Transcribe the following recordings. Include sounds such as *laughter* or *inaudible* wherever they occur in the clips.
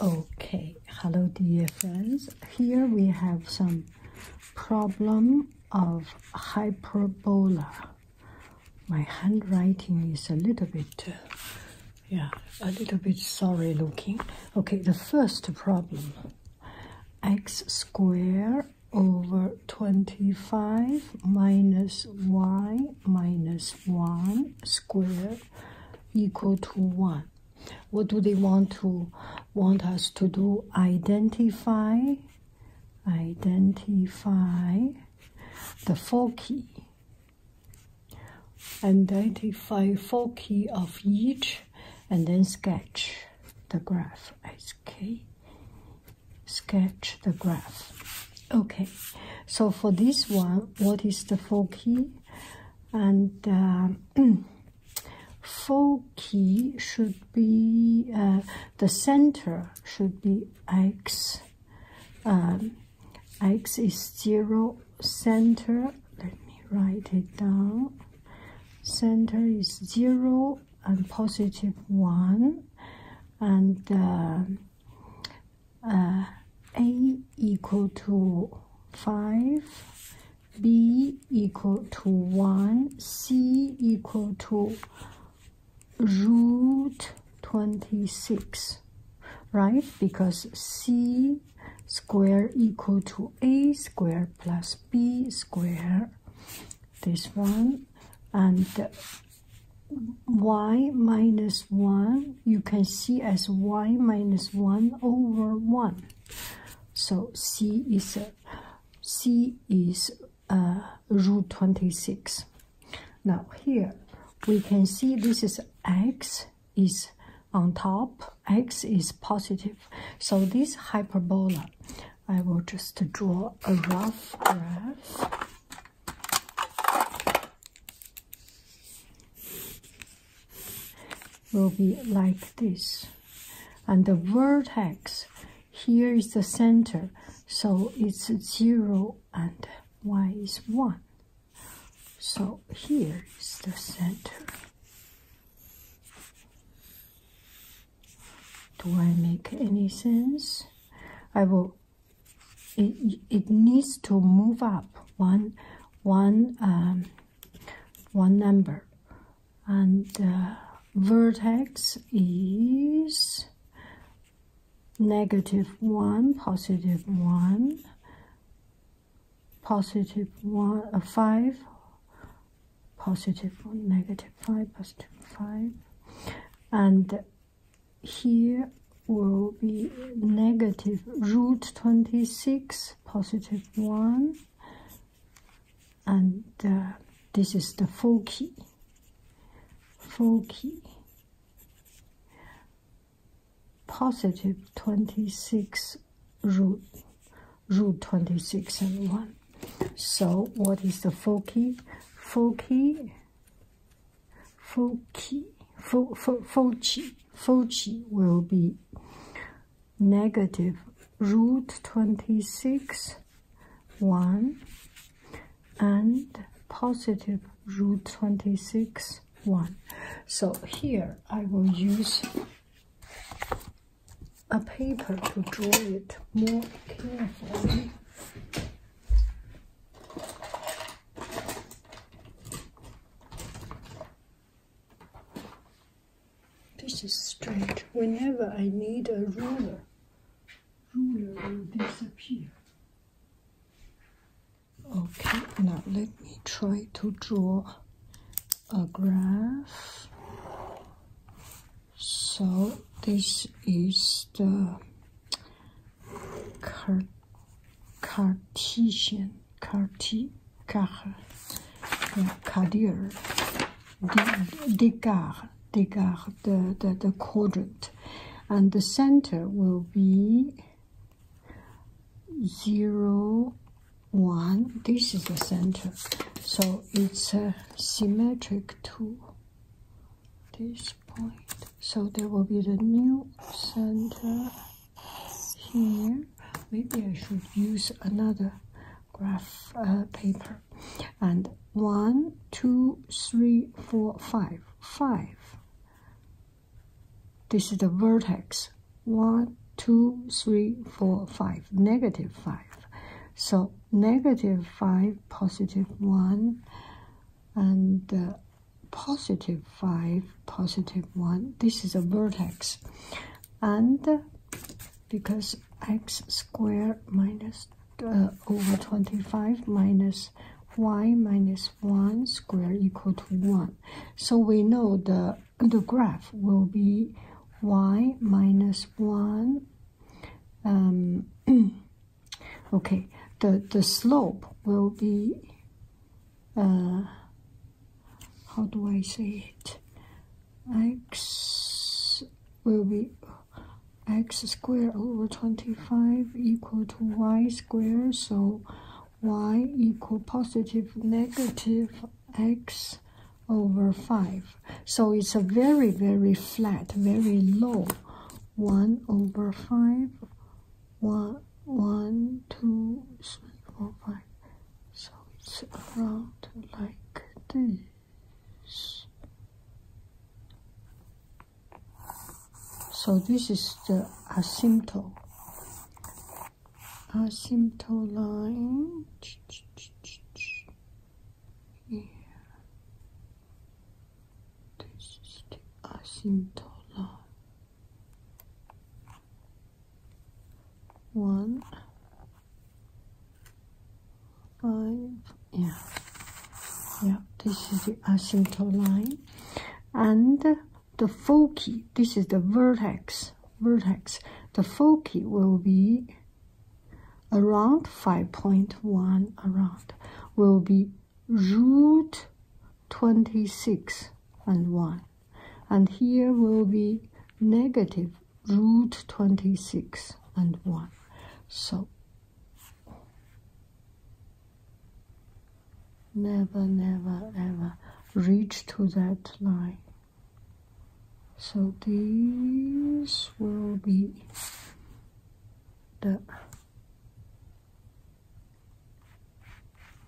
Okay, hello dear friends. Here we have some problem of hyperbola. My handwriting is a little bit, uh, yeah, a little bit sorry looking. Okay, the first problem, x squared over 25 minus y minus 1 squared equal to 1. What do they want to want us to do? Identify, identify the four key. Identify four key of each, and then sketch the graph. SK. Sketch the graph. Okay. So for this one, what is the four key? and uh, *clears throat* Foci should be uh, the center should be x. Um, x is zero center. Let me write it down. Center is zero and positive one, and uh, uh, a equal to 5 b equal to 1 c equal to root 26 right because c square equal to a square plus b square this one and y minus 1 you can see as y minus 1 over 1. So c is uh, c is uh, root 26. Now here we can see this is x is on top, x is positive. So this hyperbola, I will just draw a rough graph will be like this and the vertex here is the center so it's 0 and y is 1 so here is the center do I make any sense I will it, it needs to move up one one um, one number and uh, vertex is negative one positive one positive one uh, five positive one negative five five, plus positive five and here will be negative root 26 positive 1 and uh, this is the Foucault Foucault positive 26 root root 26 and 1 so what is the Foucault Foucault Fauci, Fauci, Fauci will be negative root 26, 1 and positive root 26, 1. So here I will use a paper to draw it more carefully. This is straight. Whenever I need a ruler, ruler will disappear. Okay, now let me try to draw a graph. So this is the Cartesian Cartier, Car, Cardier, Descartes, Descartes, the, the, the quadrant. And the center will be 0, 1. This is the center. So it's uh, symmetric to this point. So there will be the new center here maybe I should use another graph uh, paper and one two three four five five this is the vertex one two three four five negative five so negative five positive one and uh, positive 5, positive 1. This is a vertex. And because x square minus uh, over 25 minus y minus 1 square equal to 1. So we know the, the graph will be y minus 1. Um, *clears throat* okay, the, the slope will be uh, how do I say it? X will be x squared over 25 equal to y squared. So y equal positive negative x over 5. So it's a very, very flat, very low 1 over 5 one, one, two, three, four, five. So it's around like this. So this is the asymptote. Asymptote line. Yeah. This is the asymptote line one, five, yeah, yeah, this is the asymptote line, and the foci, this is the vertex, vertex, the foci will be around 5.1 around will be root 26 and 1 and here will be negative root 26 and 1 so never never ever reach to that line so this will be the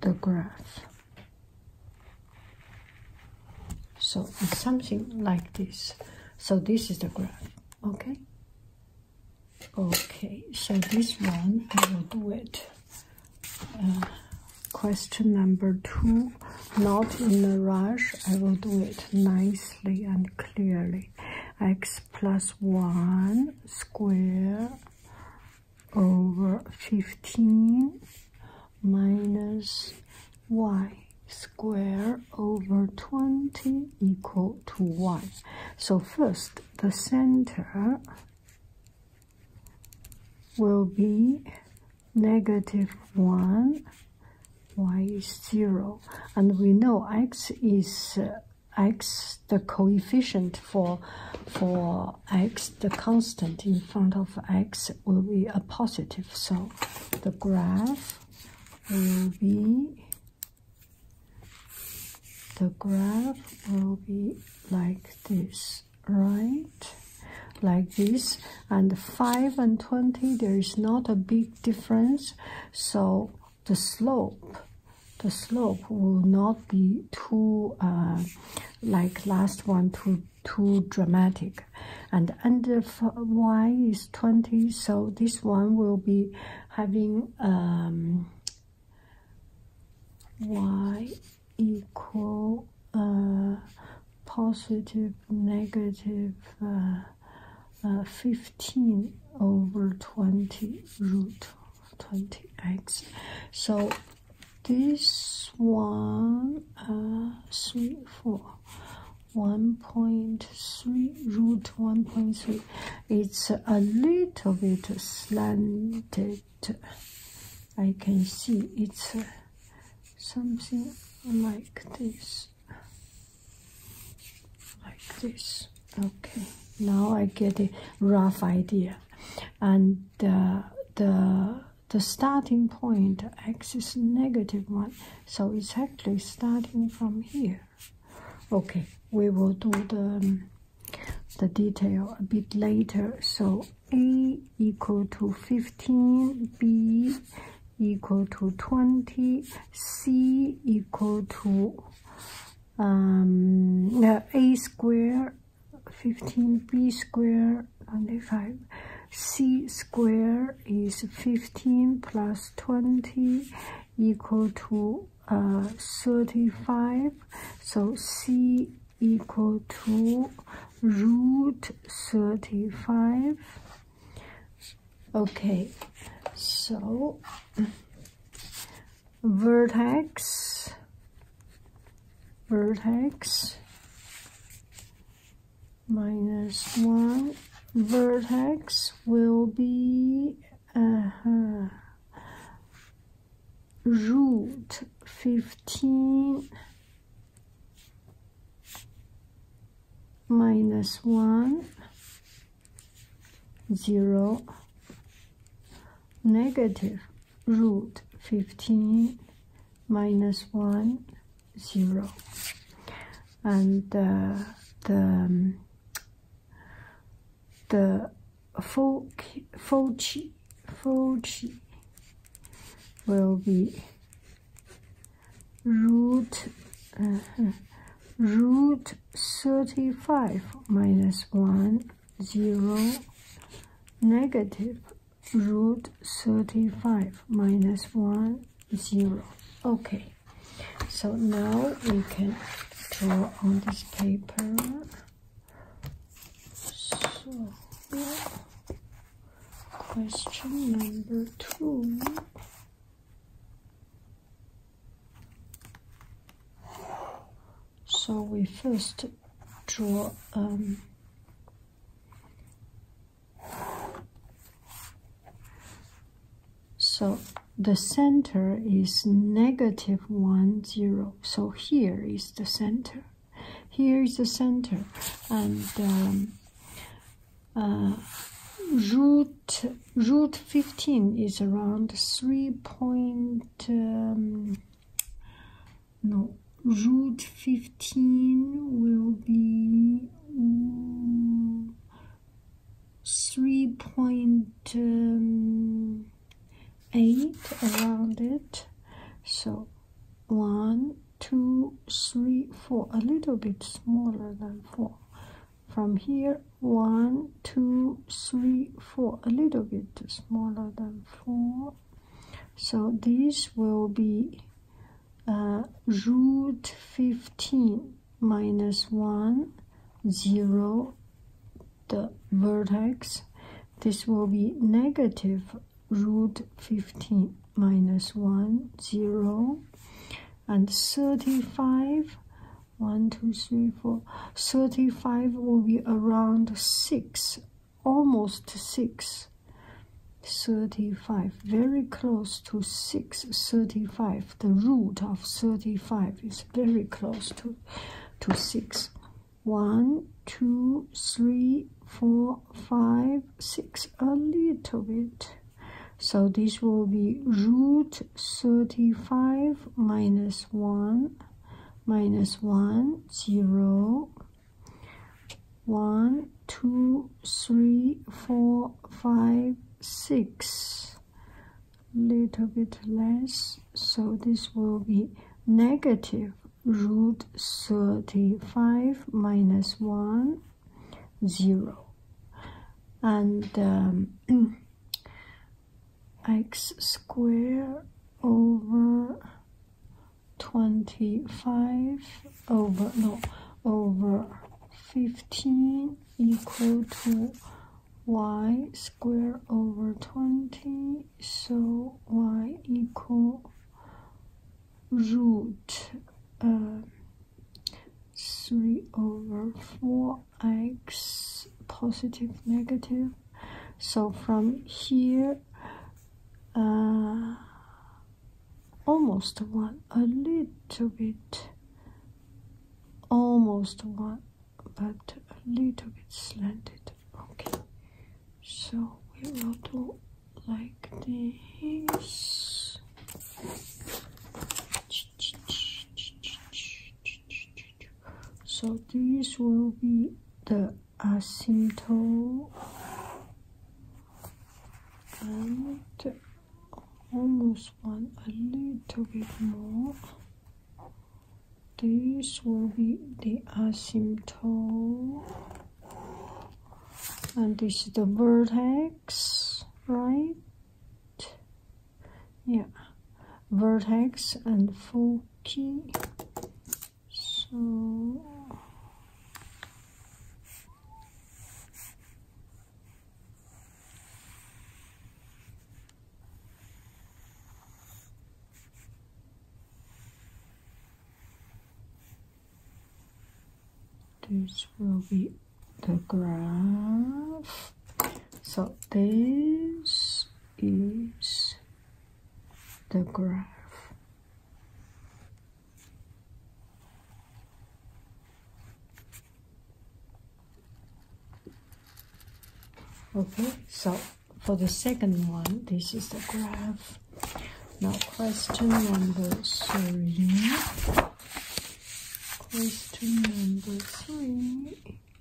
the graph. So it's something like this. So this is the graph, okay? Okay, so this one, I will do it. Uh, question number two, not in a rush, I will do it nicely and clearly. x plus 1 square over 15 minus y square over 20 equal to 1. So first, the center will be negative 1, y is 0. And we know x is uh, x the coefficient for for x the constant in front of x will be a positive so the graph will be the graph will be like this right like this and 5 and 20 there is not a big difference so the slope the slope will not be too uh, like last one too too dramatic and under y is 20 so this one will be having um, y equal uh, uh, 15 over 20 root 20x so this one uh, 1.3 root 1.3 it's a little bit slanted i can see it's uh, something like this like this Okay, now I get a rough idea, and uh, the the starting point x is negative one, so it's actually starting from here. Okay, we will do the um, the detail a bit later. So a equal to fifteen, b equal to twenty, c equal to um, a square 15b square 95 c square is 15 plus 20 equal to uh, 35 so c equal to root 35 okay so vertex, vertex, minus 1, vertex will be uh root 15 minus 1, 0, negative root 15 minus 1 0 and uh, the um, the Fauci Fauci will be root uh, root 35 minus 1 0, negative root 35 minus 1, 0. Okay, so now we can draw on this paper. So, question number two. So we first draw um, so the center is negative one zero. So here is the center. Here is the center, and um, uh, root root fifteen is around three point um, no root 15 will be 3.8 um, around it so one two three four a little bit smaller than four from here one Two, a little bit smaller than four. So this will be uh, root 15 minus 1, 0, the vertex. This will be negative root 15 minus 1, 0, and 35 one, two, three, four, 35 will be around 6, almost 6. 35, very close to 6, 35. The root of 35 is very close to, to 6. 1, 2, 3, 4, 5, 6, a little bit. So this will be root 35 minus 1 minus 1 0 1 2 3 4 5 6 little bit less so this will be negative root 35 minus 1 0 and um, *clears throat* x squared over 25 over no over 15 equal to y squared over 20 so y equal root uh, 3 over 4 x positive negative so from here uh, almost one a little bit almost one but a little bit slanted okay so we will do like this so these will be the asymptote and almost one a little bit more. This will be the asymptote and this is the vertex, right? yeah vertex and full key so this will be the graph so this is the graph. Okay, so for the second one, this is the graph. Now question number three. Question number three